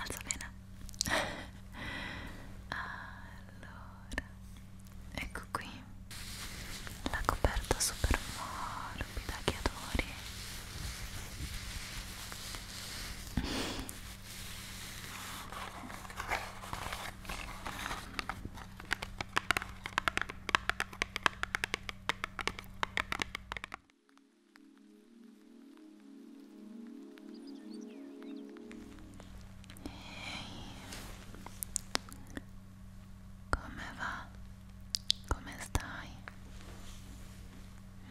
alza bene allora ecco qui la coperta super morbida che adori come va? Come stai?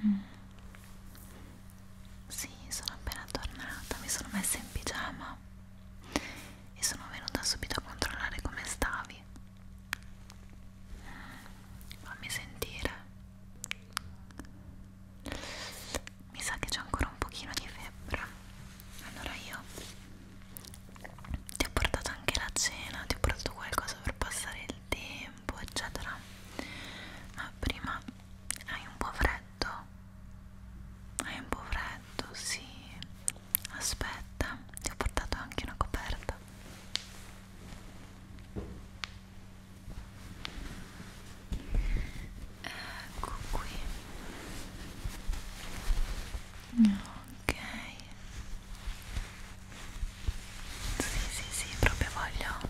Mm. Sì, sono appena tornata, mi sono messa in pigiama e sono venuta subito a controllare come stavi. Mm. Fammi sentire mi sa che c'è ancora un pochino di febbre allora io ti ho portato anche la cena ti ho portato qualcosa per passare il tempo eccetera ma prima hai un po' freddo hai un po' freddo sì aspetta ti ho portato anche una coperta ecco qui ok sì sì sì proprio voglio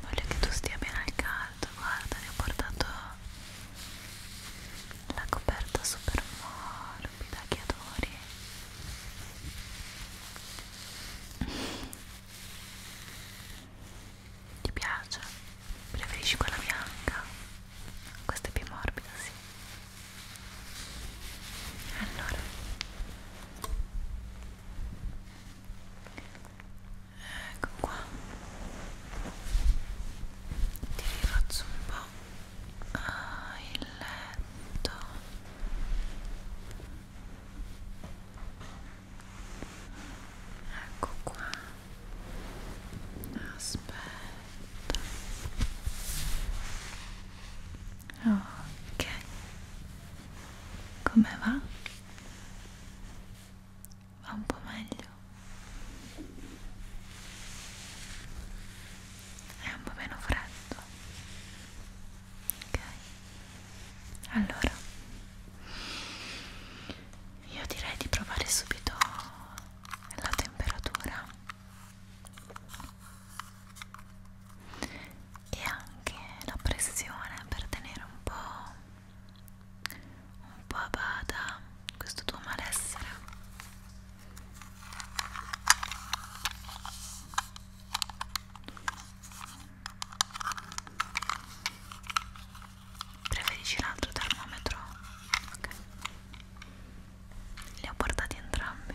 voglio che tu stia bene al caldo guarda ne ho portato la coperta super morbida che adori ti piace? Preferisci quella bianca? Questa è più morbida, sì. Allora, ecco qua. Ti rifaccio un po' ah, il letto ecco qua aspetta ok come va? va un po' meglio è un po' meno freddo ok allora io direi di provare subito la temperatura e anche la pressione per tenere un po' un po' a bada questo tuo malessere Preferisci un altro termometro? Ok. Li ho portati entrambi.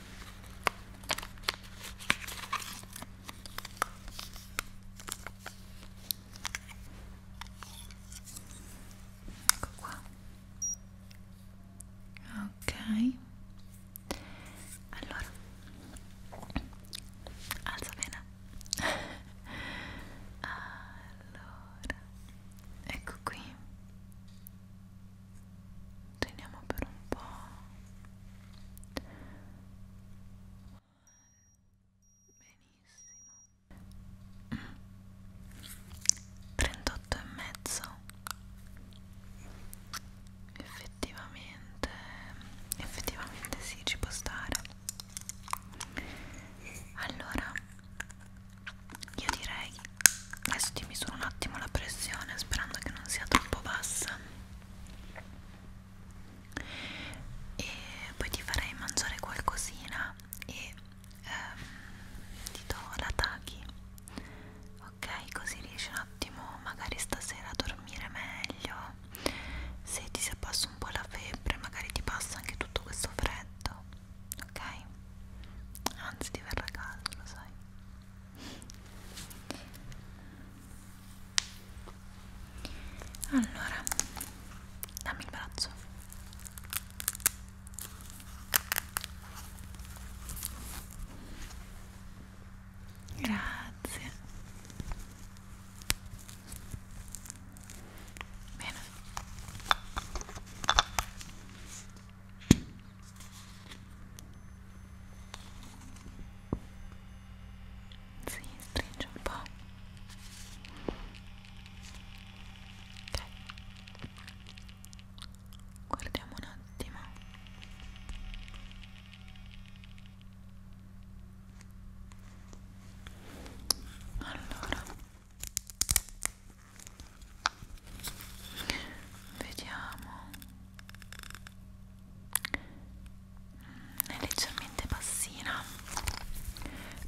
ecco qua ok allora alza bene allora ecco qui teniamo per un po' benissimo 38 e mezzo effettivamente effettivamente sì ci può stare allora io direi adesso ti misuro un attimo la pressione sperando che non sia troppo bassa e poi ti farei mangiare qualcosina e ehm, ti do la taghi ok così riesci un attimo magari stasera a dormire meglio se ti si passa un po' la febbre magari ti passa anche tutto questo freddo ok anzi ti verrà caldo lo sai allora dammi il braccio grazie bene si stringe un po' ok guardiamo un attimo allora vediamo mm, è leggermente bassina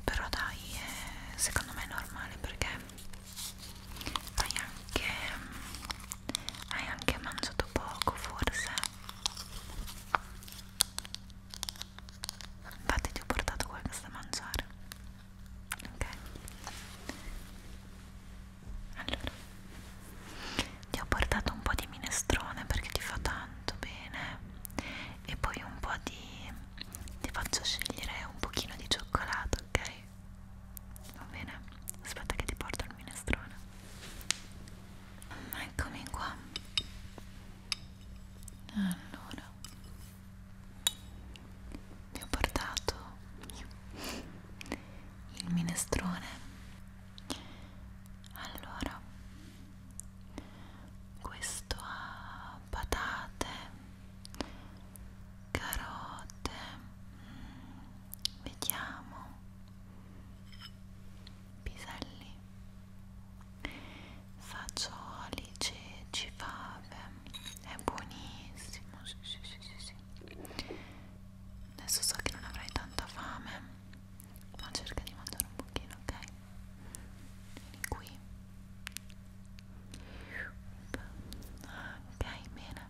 però dai è, secondo me è normale perché hai anche mm, hai anche mangiato poco forse infatti ti ho portato qualcosa da mangiare ok allora ti ho portato un po' di minestrone perché ti fa tanto bene e poi un po' di ti faccio scegliere un pochino di cioccolato ok va bene aspetta che ti porto il minestrone eccomi qua allora ti ho portato il minestrone allora questo ha patate carote mm, vediamo piselli fagioli ceci fave è buonissimo sì, sì, sì, sì, sì. Adesso so che non avrai tanta fame, ma cerca di mangiare un pochino, ok? Vieni qui. Ok, bene.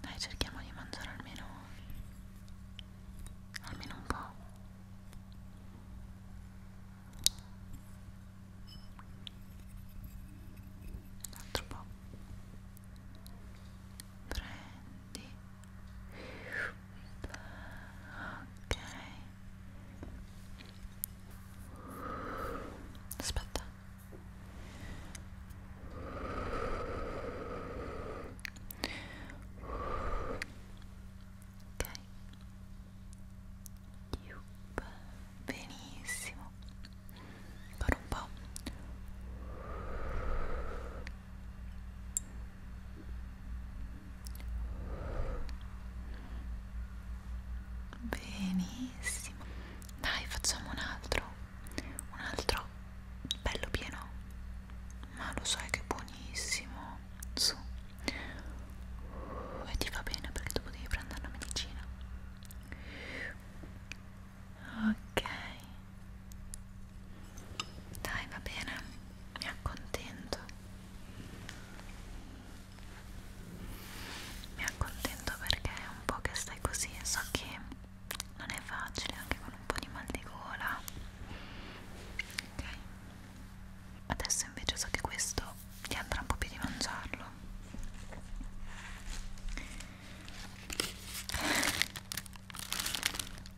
Dai, cerchiamo di mangiare almeno almeno un po'. Un altro po' prendi ok aspetta ok benissimo po', ancora un po'. Benissimo. Dai, facciamo un altro. Un altro bello pieno. Ma lo sai che è buonissimo. Su. E ti va bene perché tu devi prendere una medicina ok dai va bene mi accontento mi accontento perché è un po' che stai così so che non è facile anche con un po' di mal di gola ok adesso invece so che questo ti andrà un po' più di mangiarlo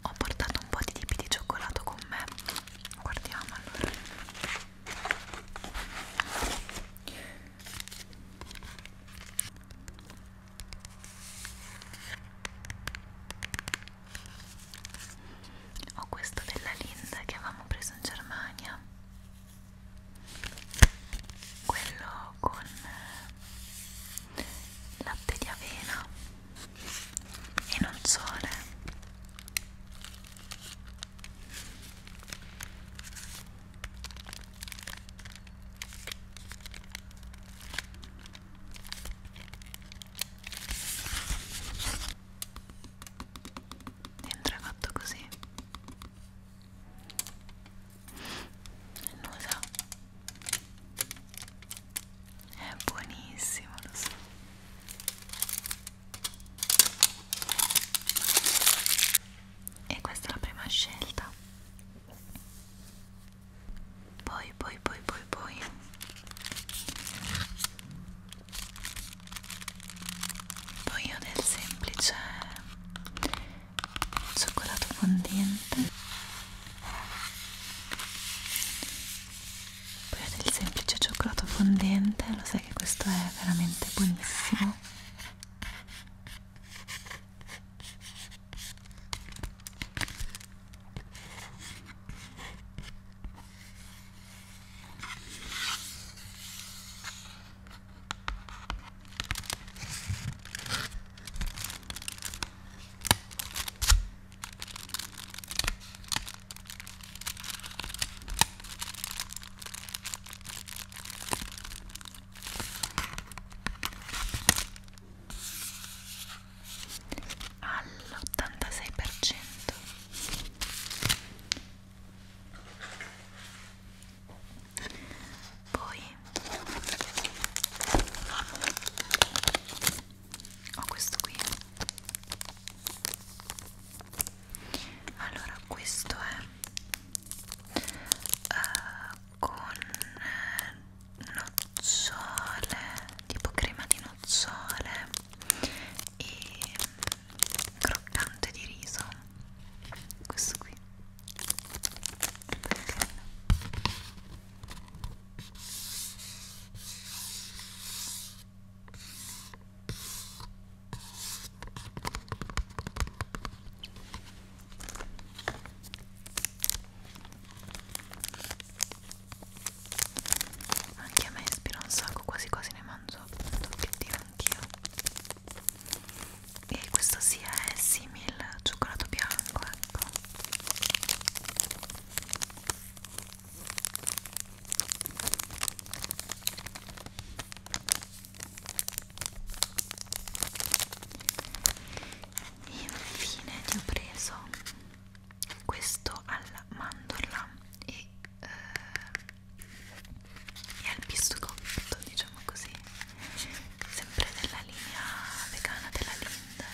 ho portato un po' di tipi di cioccolato con me guardiamo allora ho questo della Linda che avevamo preso in Germania quello farlo con eh, latte di avena e non sole dentro è fatto così Annusa è buonissimo, lo so. E questa è la prima scelta. Poi, poi, poi, poi, poi. Poi ho del semplice cioccolato fondente poi ho del semplice cioccolato fondente lo sai che questo è veramente buonissimo all'86% poi ho questo qui allora questo è uh, con nocciole tipo crema di nocciole e croccante di riso questo qui anche a me ispira un sacco quasi quasi ne mangio un tocchettino anch'io e questo sì è simil cioccolato bianco ecco infine ti ho preso questo alla mandorla e, eh, e al pistacotto diciamo così sempre della linea vegana della Lind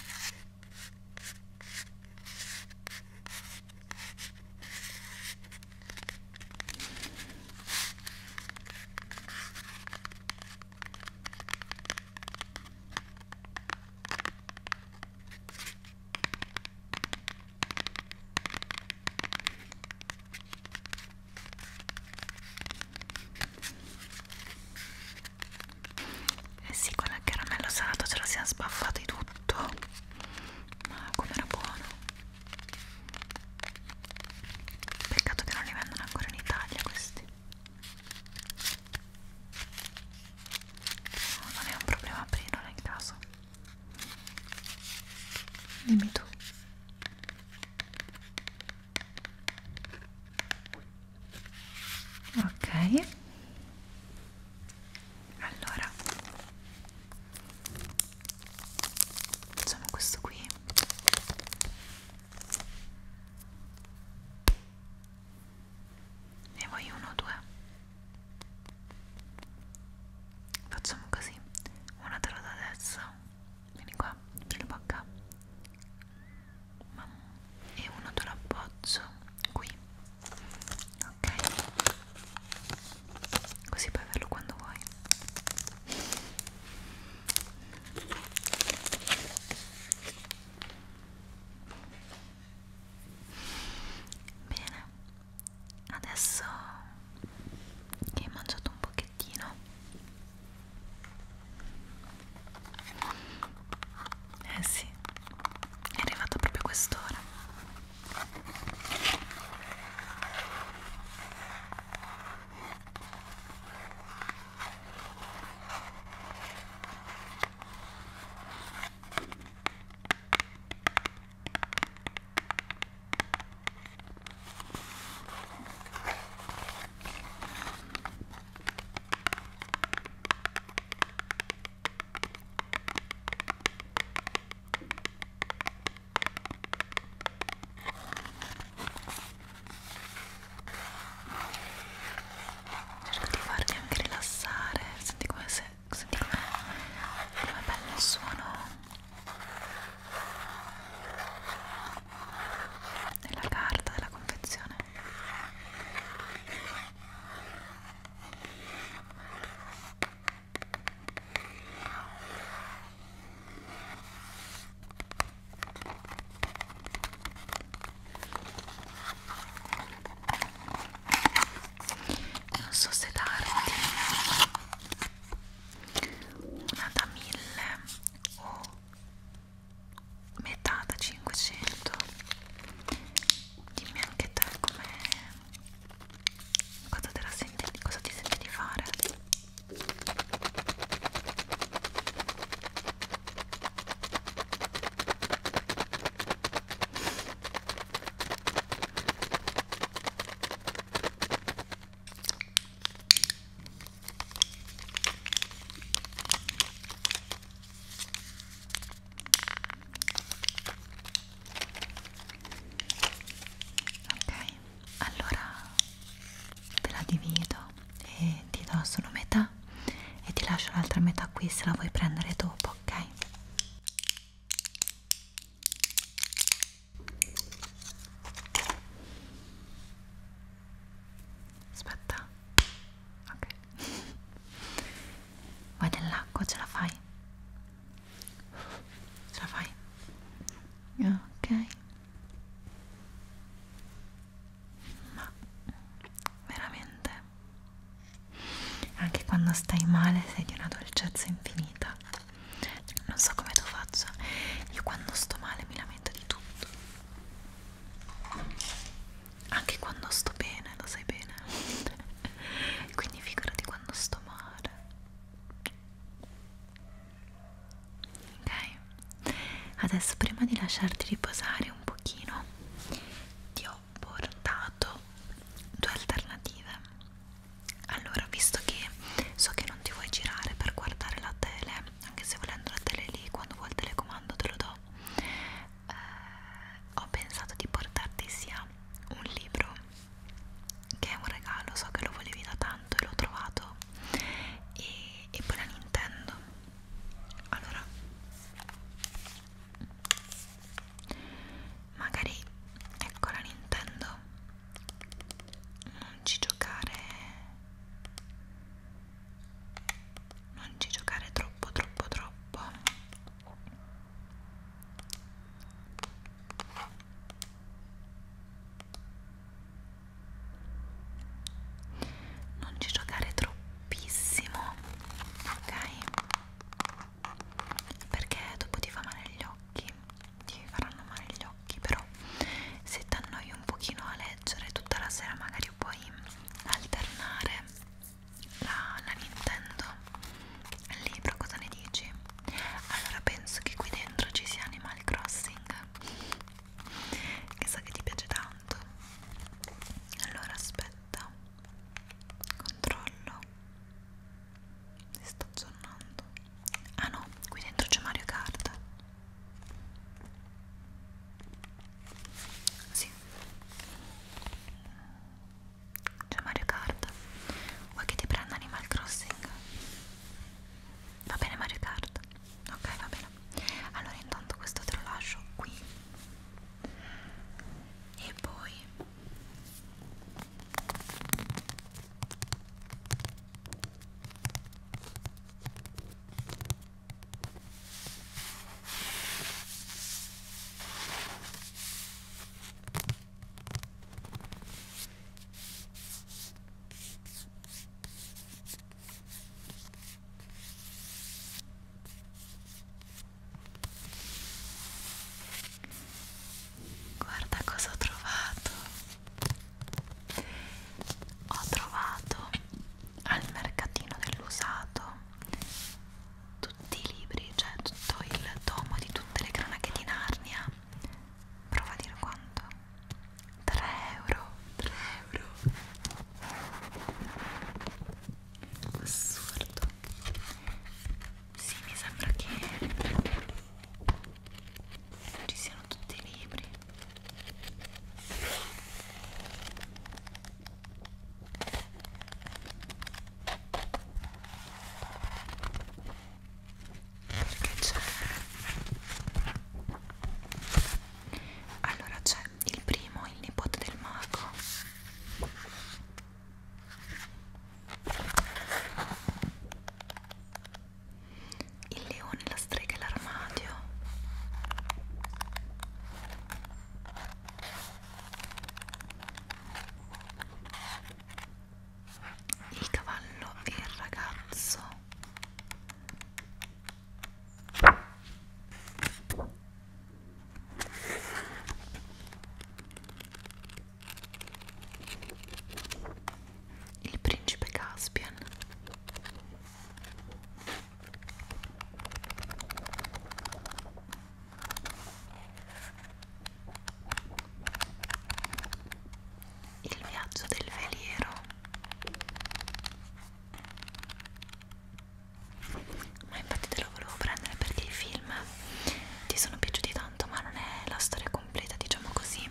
eh sì, con il caramello salato ce la siamo sbaffati tutto. Ma com'era buono. Peccato che non li vendono ancora in Italia questi. No, non è un problema aprirlo in caso. Dimmi tu ok allora facciamo questo qui ne voglio uno o due facciamo così una te lo do adesso vieni qua, apri la bocca e uno te lo appoggia qui ok così puoi averlo quando vuoi bene adesso che hai mangiato un pochettino eh sì, è arrivato proprio quest'ora. Cerco di farti anche rilassare, senti come se, senti com'è, com'è bello il suono della carta della confezione non so se darti una da mille o metà da 500 dimmi anche te come cosa, cosa ti senti di fare Ok, allora te la divido e ti do solo metà e ti lascio l'altra metà qui se la vuoi prendere dopo, ok? aspetta ok vai nell'acqua ce la fai ce la fai ok ma veramente anche quando stai male sei di una dolcezza infinita non so come tu faccia io quando sto male mi lamento di tutto anche quando sto bene, lo sai bene quindi figurati quando sto male ok adesso prima di lasciarti riposare un pochino ti ho portato due alternative allora visto che so che non ti vuoi girare per guardare la tele anche se volendo la tele lì quando vuoi il telecomando te lo do eh, ho pensato di portarti sia un libro che è un regalo so che lo volevi da tanto e l'ho trovato e, e poi la Nintendo allora magari ecco la Nintendo non ci giocare non ci giocare troppo troppo troppo non ci giocare troppissimo ok perché dopo ti fa male gli occhi ti faranno male gli occhi però se ti annoi un pochino a leggere tutta la sera magari che puoi alternare la, la Nintendo al libro, cosa ne dici? Allora penso che qui dentro ci sia Animal Crossing, che so che ti piace tanto. Allora aspetta, controllo, mi sto aggiornando. Ah no, qui dentro c'è Mario Kart. Sì. C'è Mario Kart. Vuoi che ti prenda Animal Crossing? Va bene Mario Kart. Ok, va bene. Allora intanto questo te lo lascio qui. E poi Guarda cosa ho trovato. Ho trovato al mercatino dell'usato tutti i libri, cioè tutto il tomo di tutte le cronache di Narnia prova a dire quanto 3 euro 3 euro assurdo sì mi sembra che ci siano tutti i libri perché c'è allora c'è il primo il nipote del mago il leone la strega e l'armadio il cavallo e il ragazzo il principe Caspian il viaggio del veliero. Ma infatti te lo volevo prendere perché i film ti sono piaciuti tanto, ma non è la storia completa, diciamo così.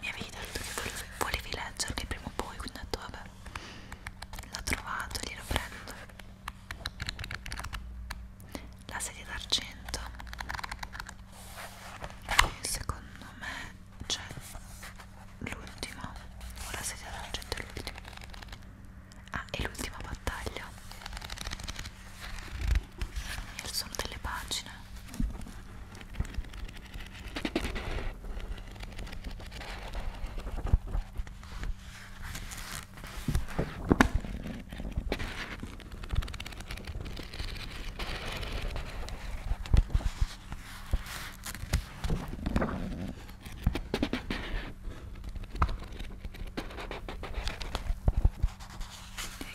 Mi avevi detto che volevi, volevi leggerli prima o poi, quindi ho detto vabbè, l'ho trovato, glielo prendo la sedia d'argento e secondo me c'è l'ultima o la sedia d'argento è l'ultima ah, è l'ultima battaglia e sono delle pagine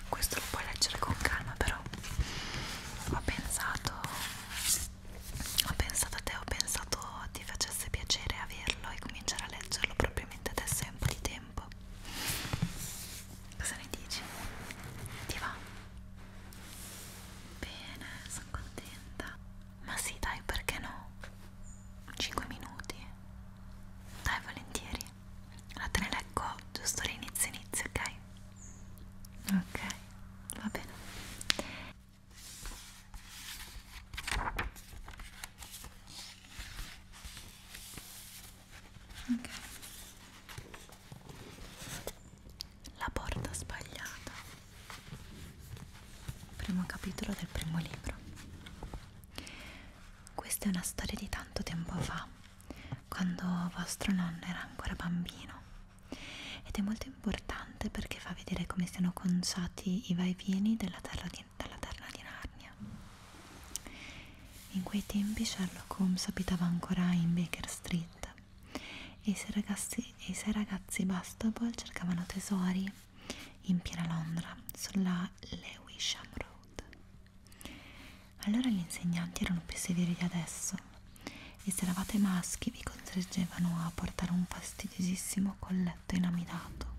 e questo lo puoi leggere con calma però ho pensato ho pensato a te, ho pensato ti facesse piacere averlo e cominciare a leggerlo propriamente adesso è un po' di tempo. Cosa ne dici? Ti va? Bene, sono contenta. Ma sì, dai, perché no? 5 minuti? Dai, volentieri. Allora te ne leggo giusto all'inizio inizio, ok? Ok, va bene ok la porta sbagliata primo capitolo del primo libro questa è una storia di tanto tempo fa quando vostro nonno era ancora bambino ed è molto importante perché fa vedere come siano conciati i vai e vieni della terra di, della terra di Narnia. In quei tempi Sherlock Holmes abitava ancora in Baker Street e i suoi ragazzi, i suoi ragazzi Bastable cercavano tesori in piena Londra sulla Lewisham Road. Allora gli insegnanti erano più severi di adesso e se eravate maschi che vi costringevano a portare un fastidiosissimo colletto inamidato.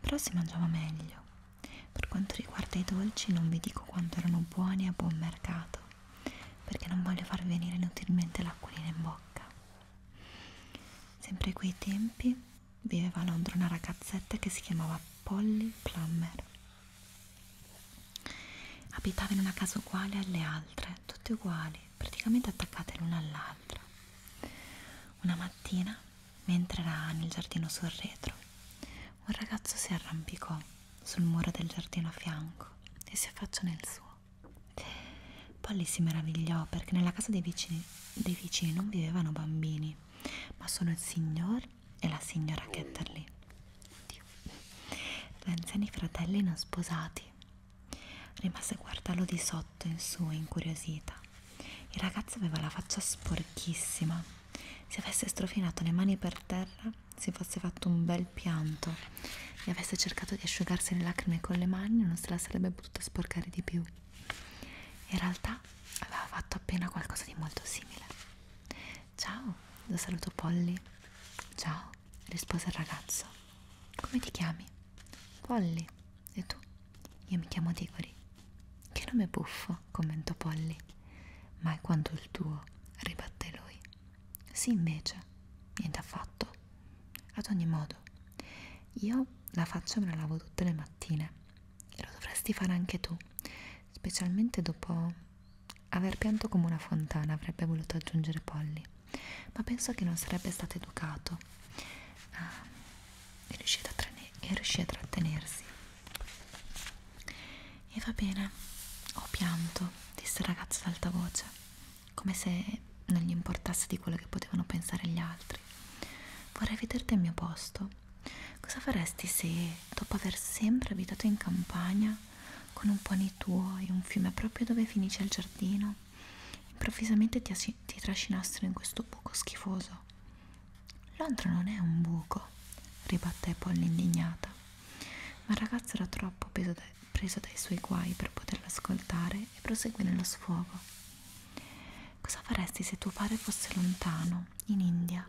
Però si mangiava meglio. Per quanto riguarda i dolci non vi dico quanto erano buoni a buon mercato, perché non voglio far venire inutilmente l'acquolina in bocca. Sempre a quei tempi viveva a Londra una ragazzetta che si chiamava Polly Plummer. Abitava in una casa uguale alle altre, tutte uguali, mani praticamente attaccate l'una all'altra. Una mattina, mentre era nel giardino sul retro, un ragazzo si arrampicò sul muro del giardino a fianco e si affacciò nel suo. Polly si meravigliò perché nella casa dei vicini, dei vicini non vivevano bambini, ma solo il signor e la signora Ketterly, gli anziani fratelli non sposati Rimase a guardarlo di sotto in su, incuriosita. Il ragazzo aveva la faccia sporchissima. Se avesse strofinato le mani per terra, si fosse fatto un bel pianto e avesse cercato di asciugarsi le lacrime con le mani, non se la sarebbe potuta sporcare di più. In realtà aveva fatto appena qualcosa di molto simile. Ciao, lo saluto Polly. Ciao, rispose il ragazzo. Come ti chiami? Polly. E tu? Io mi chiamo Digori. Che nome buffo, commentò Polly. Mai quanto il tuo, ribatté lui. Sì, invece. Niente affatto. Ad ogni modo, io la faccia me la lavo tutte le mattine. E lo dovresti fare anche tu, specialmente dopo aver pianto come una fontana, avrebbe voluto aggiungere Polly ma penso che non sarebbe stato educato eh, e, riuscì a e riuscì a trattenersi. E va bene, ho pianto, disse il ragazzo ad alta voce, come se non gli importasse di quello che potevano pensare gli altri. Vorrei vederti al mio posto. Cosa faresti se, dopo aver sempre abitato in campagna, con un pony tuo e un fiume proprio dove finisce il giardino, Improvvisamente ti, ti trascinassero in questo buco schifoso. Londra non è un buco, ribatté Polly indignata. Ma il ragazzo era troppo preso, da, preso dai suoi guai per poterla ascoltare e proseguire lo sfogo. Cosa faresti se tuo padre fosse lontano, in India,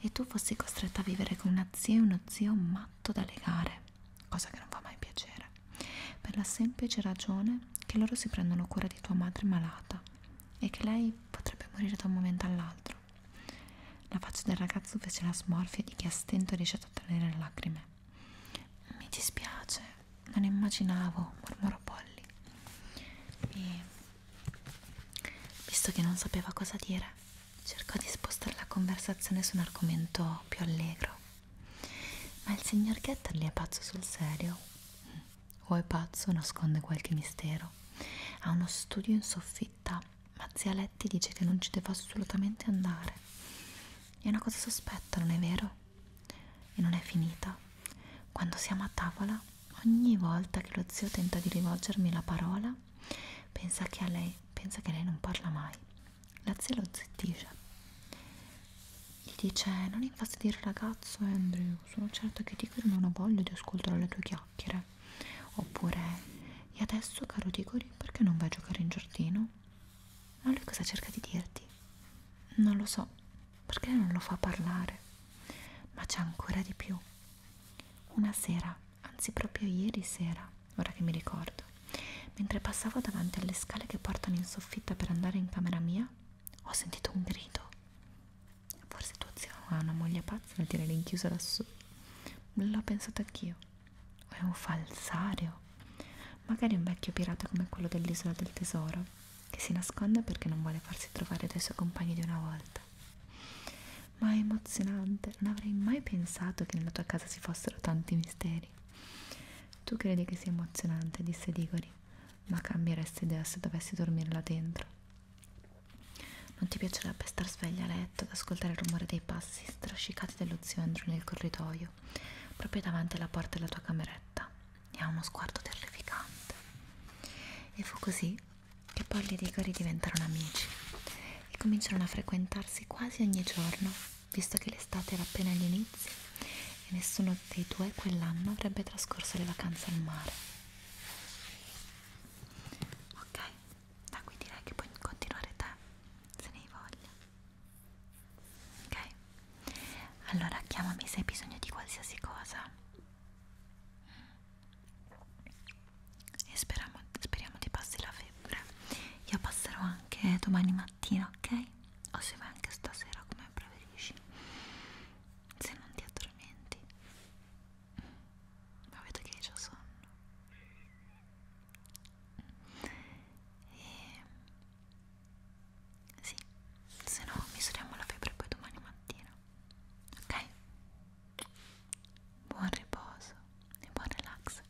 e tu fossi costretta a vivere con una zia e uno zio matto da legare? cosa che non fa mai piacere, per la semplice ragione che loro si prendono cura di tua madre malata e che lei potrebbe morire da un momento all'altro. La faccia del ragazzo fece la smorfia di chi a stento riesce a trattenere le lacrime. Mi dispiace, non immaginavo, mormorò Polly. E visto che non sapeva cosa dire, cercò di spostare la conversazione su un argomento più allegro. Ma il signor Getterly è pazzo sul serio? Mm. O è pazzo nasconde qualche mistero? Ha uno studio in soffitta, ma zia Letti dice che non ci deve assolutamente andare. È una cosa sospetta, non è vero? E non è finita. Quando siamo a tavola, ogni volta che lo zio tenta di rivolgermi la parola, pensa che a lei, pensa che lei non parla mai. La zia lo zittisce. Gli dice, non infastidire il ragazzo Andrew, sono certa che Tigor non ha voglia di ascoltare le tue chiacchiere. Oppure, e adesso caro Tigori, perché non vai a giocare in giardino? Ma lui cosa cerca di dirti? Non lo so, perché non lo fa parlare? Ma c'è ancora di più. Una sera, anzi proprio ieri sera, ora che mi ricordo, Mentre passavo davanti alle scale che portano in soffitta per andare in camera mia, ho sentito un grido. Forse tuo zio ha una moglie pazza da tirare in chiuso lassù. L'ho pensato anch'io. O è un falsario. Magari un vecchio pirata come quello dell'isola del tesoro, che si nasconde perché non vuole farsi trovare dai suoi compagni di una volta. Ma è emozionante, non avrei mai pensato che nella tua casa ci fossero tanti misteri. Digori. Tu credi che sia emozionante, disse Digori, ma cambieresti idea se dovessi dormire là dentro. Non ti piacerebbe star sveglia a letto ad ascoltare il rumore dei passi strascicati dello zio Andrew nel corridoio, proprio davanti alla porta della tua cameretta, e ha uno sguardo terrificante. E fu così che poi gli Digori diventarono amici e cominciarono a frequentarsi quasi ogni giorno visto che l'estate era appena agli inizi e nessuno dei due quell'anno avrebbe trascorso le vacanze al mare. Ok, da qui direi che puoi continuare te, se ne hai voglia. Ok, allora chiamami se hai bisogno di qualsiasi cosa. E speriamo, speriamo ti passi la febbre. Io passerò anche domani mattina, ok? o se vai anche stasera come preferisci se non ti addormenti ma vedo che hai già sonno e sì se no misuriamo la febbre poi domani mattina ok buon riposo e buon relax